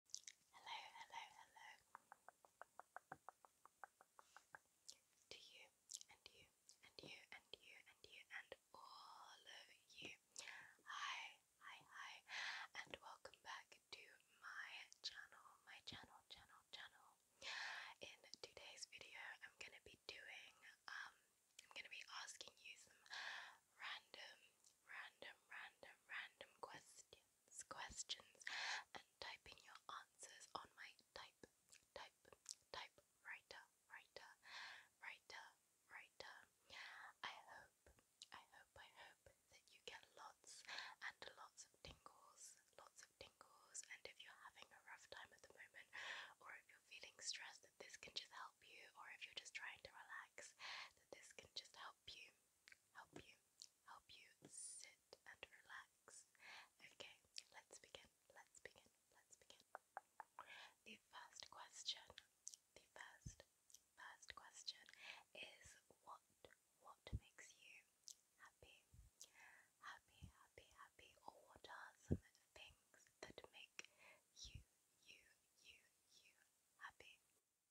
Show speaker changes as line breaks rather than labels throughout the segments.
Hello, hello, hello. To you, and you, and you, and you, and you, and all of you. Hi, hi, hi, and welcome back to my channel, my channel, channel, channel. In today's video, I'm gonna be doing, um, I'm gonna be asking you some random, random, random, random questions questions and typing your answers on my type, type, type writer, writer, writer. I hope, I hope, I hope that you get lots and lots of tingles, lots of tingles. And if you're having a rough time at the moment, or if you're feeling stressed, that this can just help you, or if you're just trying to relax, that this can just help help you, help you, help you sit and relax. Okay, let's begin, let's begin, let's begin. The first question, the first, first question is what, what makes you happy? Happy, happy, happy, or what are some things that make you, you, you, you happy?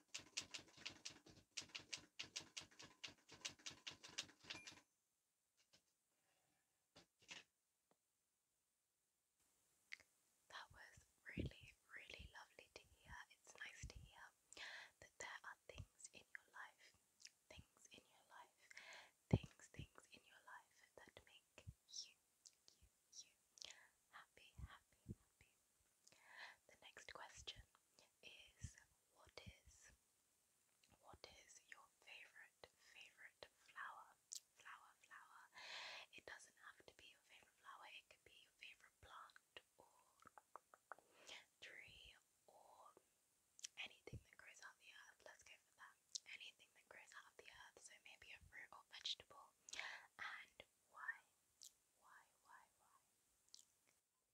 That was really, really lovely to hear. It's nice to hear that there are things in your life, things in your life, things, things in your life that make you, you, you happy, happy, happy. The next question is what is what is your favorite favorite flower? Flower, flower. It doesn't have to be your favorite flower. It could be your favorite plant or tree or anything that grows out the earth. Let's go for that. Anything that grows out of the earth. So maybe a fruit or vegetable. And why? Why, why, why?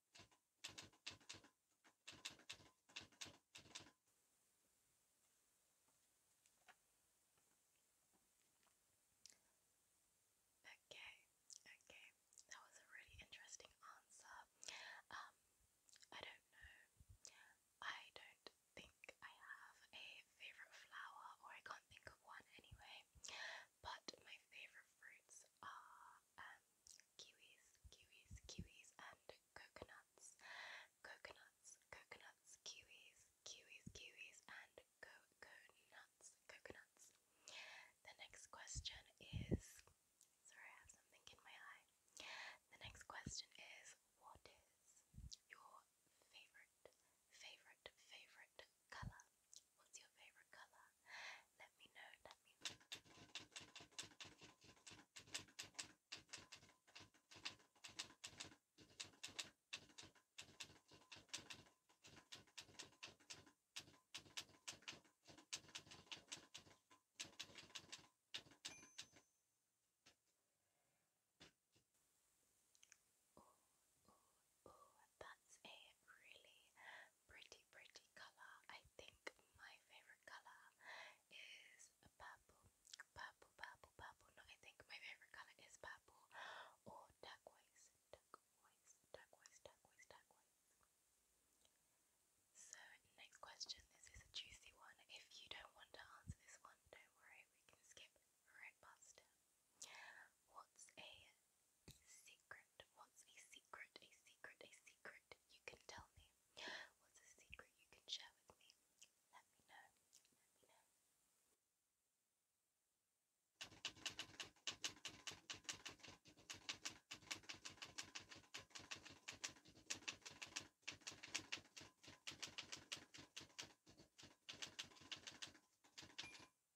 Okay, okay, that was a really interesting answer. Um, I don't know. I don't think I have a favorite flower, or I can't think of one anyway. But my favorite fruits are um, kiwis, kiwis, kiwis, and coconuts. Coconuts, coconuts, kiwis, kiwis, kiwis, and coconuts, coconuts. The next question is sorry, I have something in my eye. The next question is what is your favorite, favorite, favorite color? What's your favorite color? Let me know. Let me know. Ooh, that's a really pretty, pretty colour. I think my favourite colour is purple. Purple, purple, purple. No, I think my favourite colour is purple or turquoise. Turquoise, turquoise, turquoise, turquoise. So, next question. This is a juicy one. If you don't want to answer this one, don't worry, we can skip right past it. What's a Secret. What's a secret? A secret, a secret you can tell me. What's a secret you can share with me? Let me know. Let me know.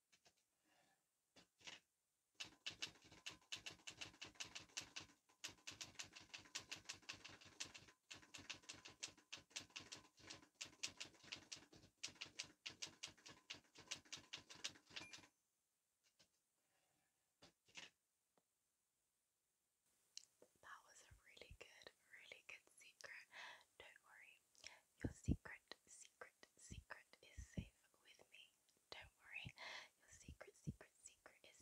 That was a really good, really good secret. Don't worry, your secret, secret, secret is safe with me. Don't worry, your secret, secret, secret is safe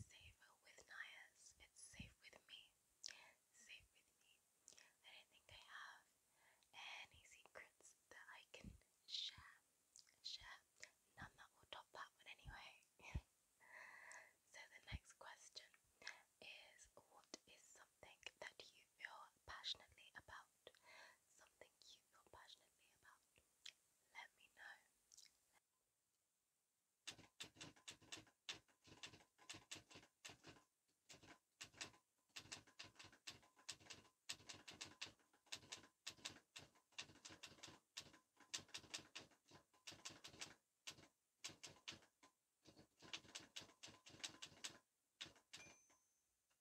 with Nias. It's safe with me. Safe with me. I don't think I have any secrets that I can share. Share. None that will top that one anyway. so the next question is what is something that you feel passionately about? something you feel passionately about, let me know.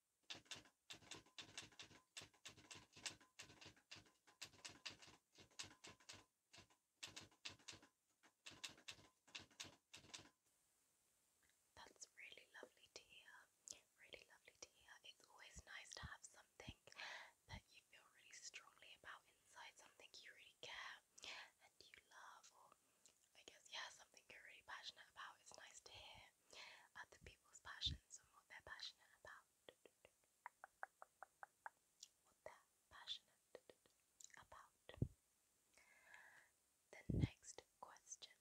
That's really lovely to hear. Really lovely to hear. It's always nice to have something that you feel really strongly about inside, something you really care and you love, or I guess, yeah, something you're really passionate about. It's nice to hear other people's passions and what they're passionate about. What they're passionate about. The next question.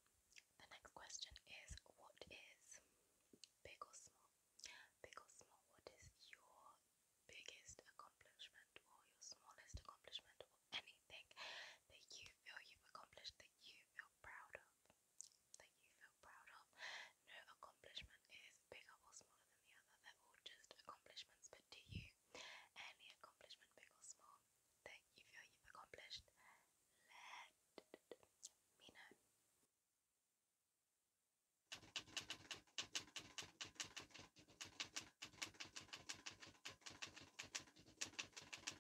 The next question is what is big or small? Big or small, what is your biggest accomplishment or your smallest accomplishment or anything that you feel you've accomplished that you feel proud of? that you feel proud of. No accomplishment is bigger or smaller than the other, they're all just accomplishments, but to you, any accomplishment, big or small, that you feel you've accomplished, let me know.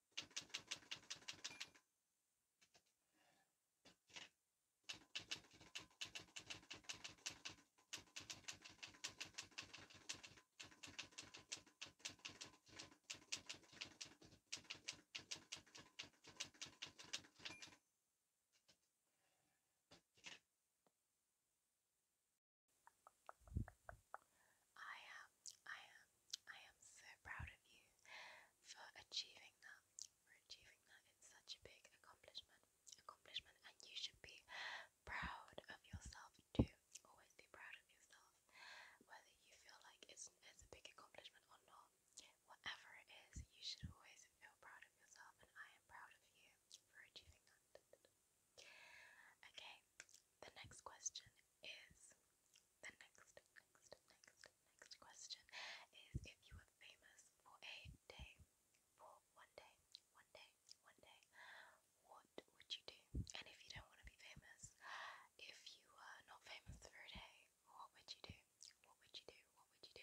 I am, I am I am so proud of you for achieving that, for achieving that. It's such a big accomplishment, accomplishment, and you should be proud of yourself too. Always be proud of yourself, whether you feel like it's, it's a big accomplishment or not. Whatever it is, you should always feel proud of yourself, and I am proud of you for achieving that. Okay, the next question is the next, next, next, next question is if you were famous for a day, for one day, one day, one day, what would you do? And if you don't want to be famous, if you were not famous for a day, what would you do? What would you do? What would you do?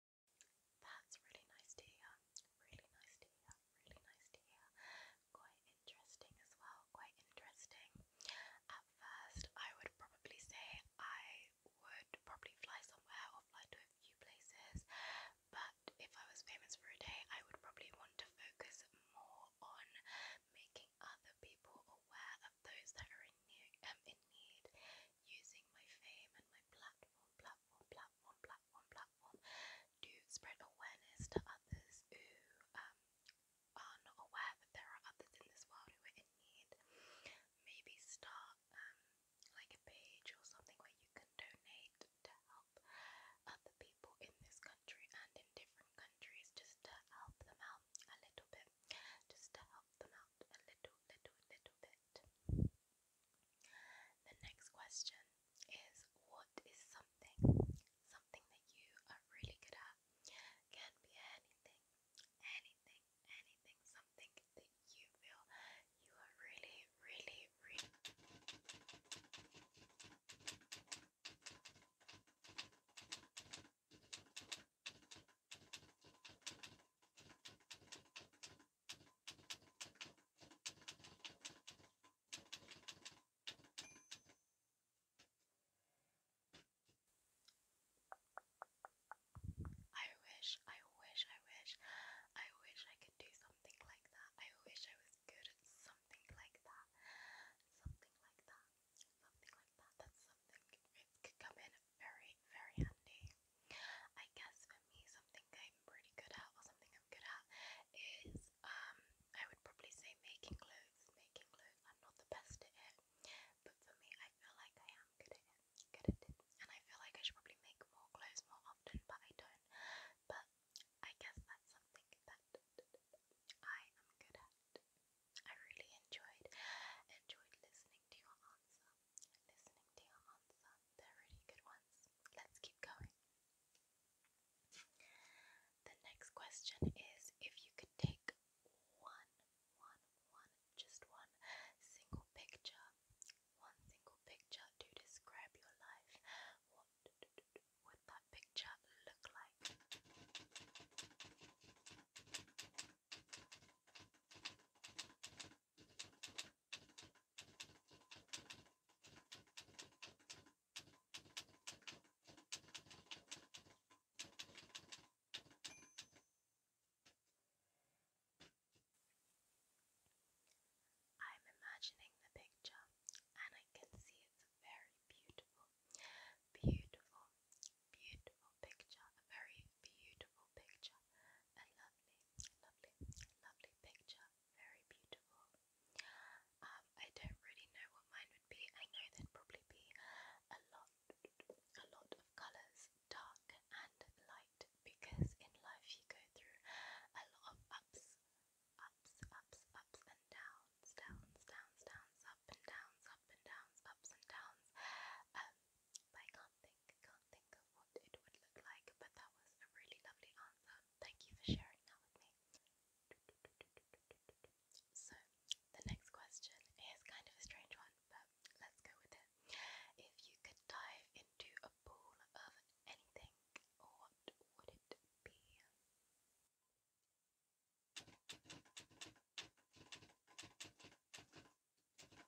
That's really nice to hear. Really nice to hear. Really nice to hear. Quite interesting as well. Quite interesting. At first, I would probably say I would probably fly somewhere or fly to a few places, but if I was famous for a day, I would probably want to focus more on making other people aware of those that are in need, um, need using my fame and my platform, platform platform, platform, platform, platform to spread awareness to others who um, are not aware that there are others in this world who are in need. Maybe start um, like a page or something where you can donate to help other people in this country and in different countries just to help them out a little bit. Just to help them out a little, little, little bit. The next question is what is something? Something that you are really good at. Can be anything, anything, anything, something that you feel you are really, really, really I wish, I wish, I wish, I wish I could do something like that. I wish I was good at something like that. Something like that. Something like that. That's something could come in very, very handy. I guess for me, something I'm pretty good at, or something I'm good at, is um, I would probably say making clothes. Making clothes, I'm not the best at it, but for me, I feel like I am good at Good at it, and I feel like I should probably make more clothes more often, but I don't. But I guess that's something that I am good at. I really enjoyed enjoyed listening to your answer listening to your answer. they really good ones. Let's keep going. The next question is if you could take one, one, one, just one single picture, one single picture to describe your life, what would that picture look like? I'm imagining the picture and I can see it's a very beautiful, beautiful, beautiful picture, a very beautiful picture a lovely, lovely, lovely picture. Very beautiful. Um, I don't really know what mine would be. I know there probably be a lot, a lot of colours, dark and light, because in life you go through a lot of ups, ups, ups, ups and downs, downs, downs, downs, up and downs, up and downs, ups and downs. Um, but can can't think of what it would look like, but that was a really lovely answer. Thank you for sharing that with me. So, the next question is kind of a strange one, but let's go with it. If you could dive into a pool of anything, what would it be?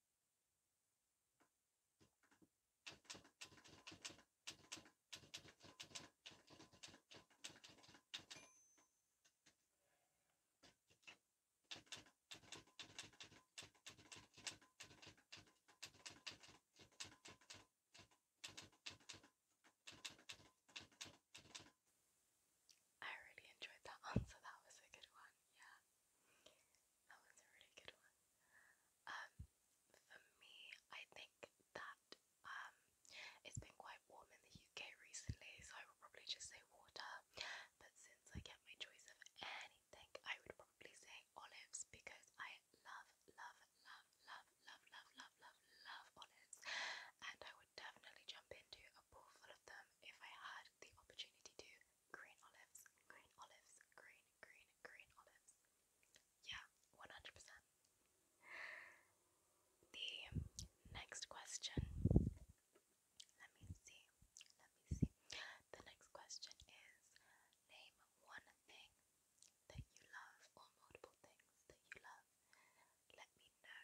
I really enjoyed that answer, that was a good one, yeah. That was a really good one. Um, for me, I think that um, it's been quite warm in the UK recently, so I would probably just say water. But since I get my choice of anything, I would probably say olives because I love, love, love, love, love, love, love, love, love olives, and I would definitely jump into a pool full of them if I had the opportunity to. Green olives, green olives, green, green, green olives. Yeah, 100%. The next question. Let me see. Let me see. The next question is name one thing that you love or multiple things that you love. Let me know.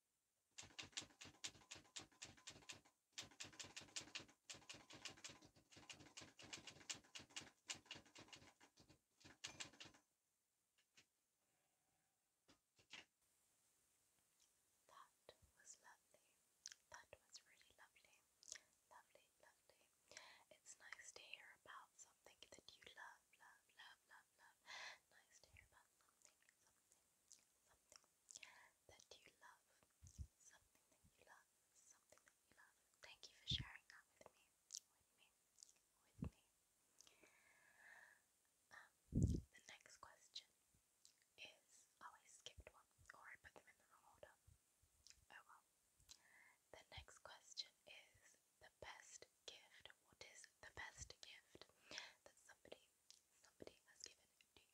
That was lovely. That was really lovely. Lovely, lovely. It's nice to hear about something that you love, love, love, love, love. Nice to hear about something, something, something that you love. Something you love. Something you love. Thank you for sharing that with me. With me. With me. the next question is oh I skipped one or I put them in the wrong order. Oh well. The next question is the best gift? What is the best gift that somebody somebody has given you.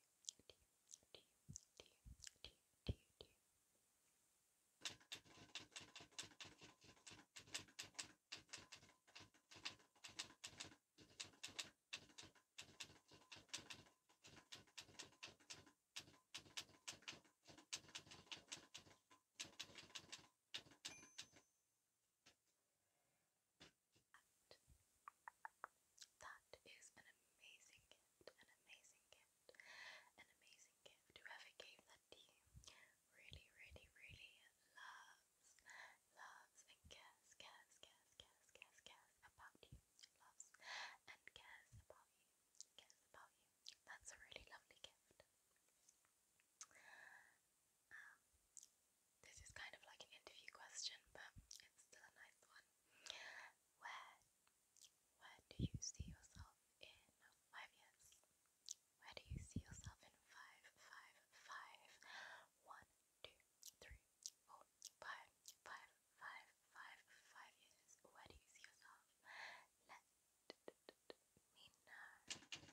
And that is an amazing gift, an amazing gift, an amazing gift. Whoever gave that to you really, really, really loves, loves and cares, cares, cares, cares, cares about you. Loves and cares about you, cares about you. That's a really lovely gift. This is kind of like an interview question, but it's still a nice one. Where, where do you see yourself in five years? Where do you see yourself in five, five, five? One, two, three, four, five, five, five, five, five years. Where do you see yourself? Let me know.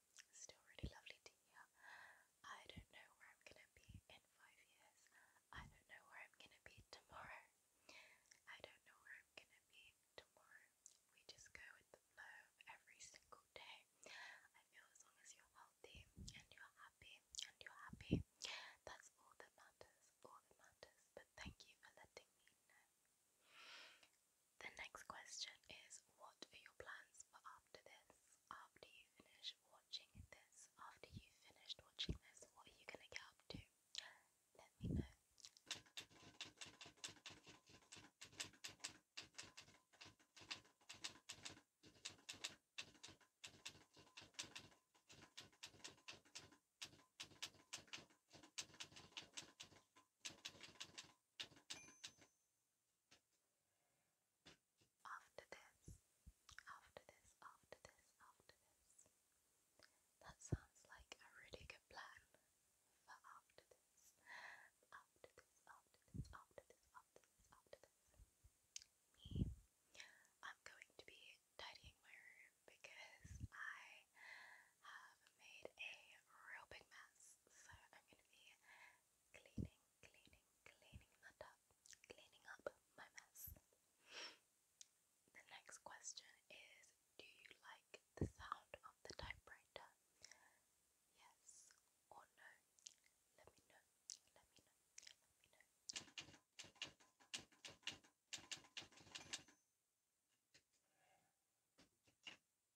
still really lovely to I don't know where I'm going to be in five years. I don't know where I'm going to be tomorrow. I don't know where I'm going to be tomorrow. We just go with the flow every single day. I feel as long as you're healthy and you're happy and you're happy, that's all that matters. All that matters. But thank you for letting me know. The next question is What are your plans for after this? after you finish watching this, after you've finished watching this, what are you gonna get up to? Let me know. After this, after this, after this, after this. That sounds like a really good plan for after this. After this, after this, after this, after this, after this. Me, I'm going to be tidying my room because I have made a real big mess. So I'm going to be cleaning, cleaning, cleaning that up, cleaning up my mess. The next question is Do you like the sound of the typewriter? Yes or no? Let me know. Let me know. Let me know.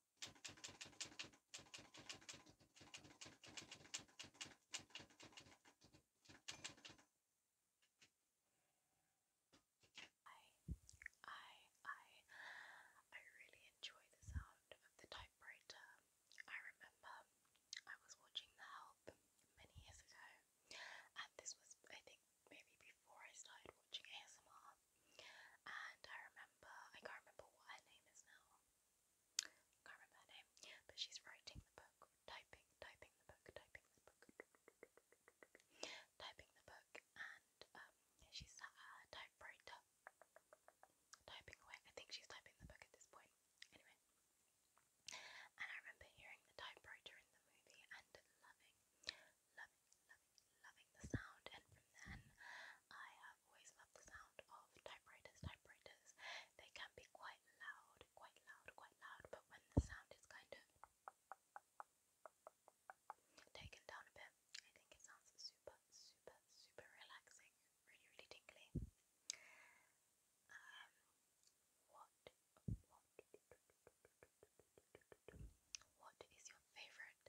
I I I really enjoy the sound of the typewriter. I remember I was watching The Help many years ago and this was I think maybe before I started watching ASMR and I remember I can't remember what her name is now. I can't remember her name, but she's writing the book, typing, typing the book, typing the book, typing the book, and um, she's at typewriter, typing away. I think she's typing the book at this point. Anyway, and I remember hearing the typewriter in the movie and loving, loving, loving, loving the sound. And from then, I have always loved the sound of typewriters. Typewriters, they can be quite loud, quite loud, quite loud, but when the sound is kind of taken down a bit, I think it sounds super, super, super relaxing, really, really tingly. Um, what, what is your favorite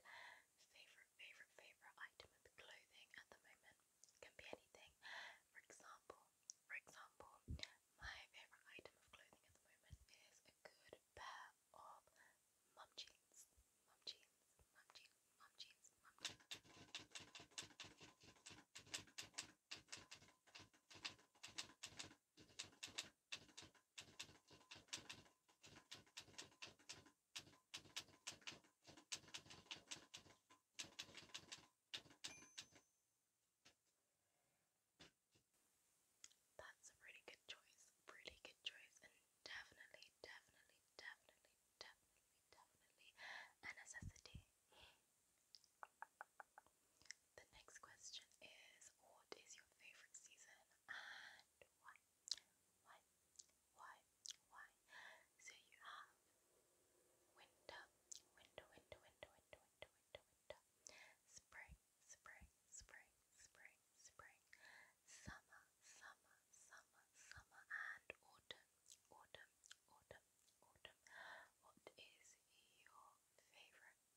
Favorite, favorite, favorite item of clothing at the moment can be anything. For example, for example, my favorite item of clothing at the moment is a good pair of mum jeans. Mum jeans, mum jeans, mum jeans. That's a really good choice, really good choice, and definitely, definitely, definitely, definitely, definitely a necessity. The next question is What is your favourite season and why? Why? Why? Why? So you have winter, winter, winter, winter, winter, winter, winter, winter, spring, spring, spring, spring, spring, summer, summer, summer, summer, and autumn, autumn, autumn, autumn. What is your favorite?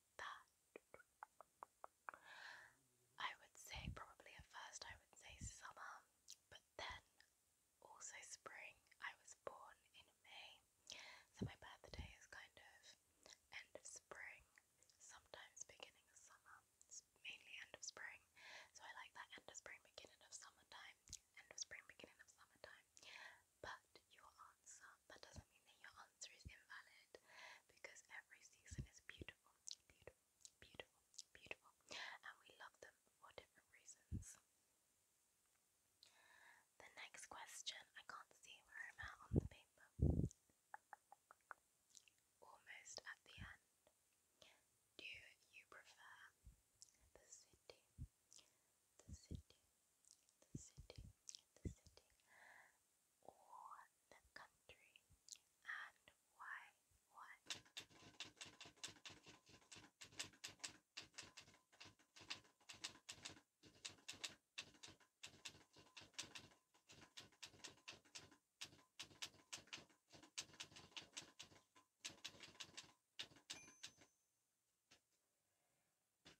that. I would say probably at first I would say summer, but then also spring. I was born in May, so my birthday is kind of end of spring, sometimes beginning of summer, mainly end of spring. So I like that end of spring, beginning of summertime, end of spring, beginning of summertime. But your answer that doesn't mean that your answer is invalid because every season is beautiful, beautiful, beautiful, beautiful, and we love them for different reasons. The next question, I can't see where I'm at on the paper. Almost at the end. Do you prefer the city? The city, the city, the city, on the country and why why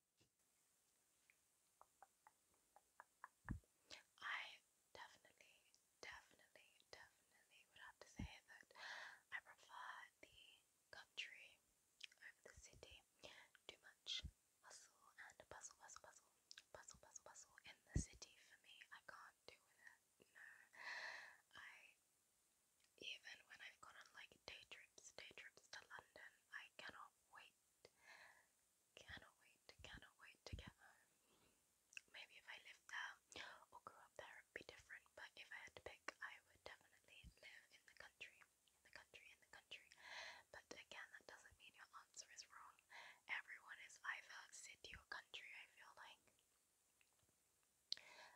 I definitely, definitely, definitely would have to say that I prefer the country over the city. Too much hustle and bustle, bustle, bustle, bustle, bustle, in the city for me. I can't do with it. No, I even when I've gone on like day trips, day trips to London, I cannot wait Cannot wait, cannot wait to get home. Maybe if I lived there or grew up there, it'd be different. But if I had to pick, I would definitely live in the country, the country, in the country. But again, that doesn't mean your answer is wrong. Everyone is either city or country. I feel like.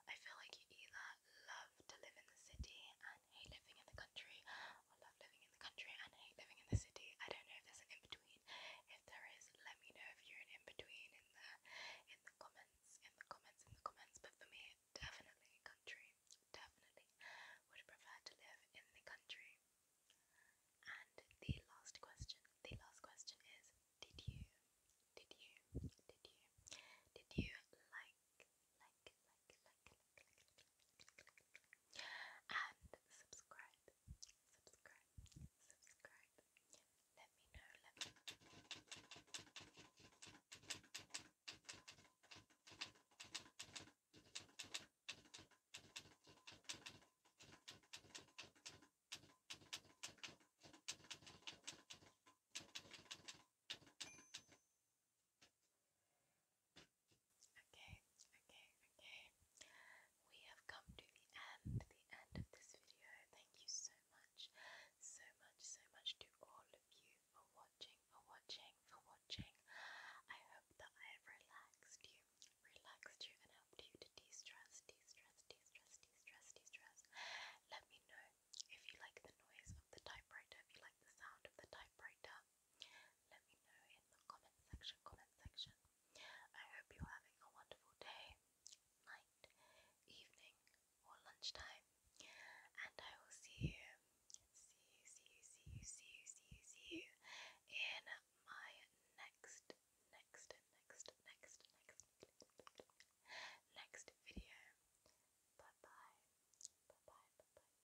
I feel like you either love to live in the city and and hate living in the country, I love living in the country and hate living in the city. I don't know if there's an in between. If there is, let me know if you're an in between in the in the comments, in the comments, in the comments. But for me, definitely country. Definitely would prefer to live in the country. And the last question, the last question is, did you, did you, did you, did you like, like, like, like, like, and subscribe, subscribe, subscribe. Let me know, Okay, okay, okay. We have come to the end, the end of this video. Thank you so much, so much, so much to all of you for watching, for watching, for watching. I hope that I have relaxed you, relaxed you, and helped you to de-stress, de-stress, de-stress, de-stress, de-stress. Let me know if you like the noise of the typewriter, if you like the sound of the typewriter. Let me know in the comment section, comment section. I hope you're having a wonderful day, night, evening, or lunchtime. And I will see you, see you, see you, see you, see you, see you, see you in my next, next, next, next, next, next video. Bye bye. Bye bye, bye bye,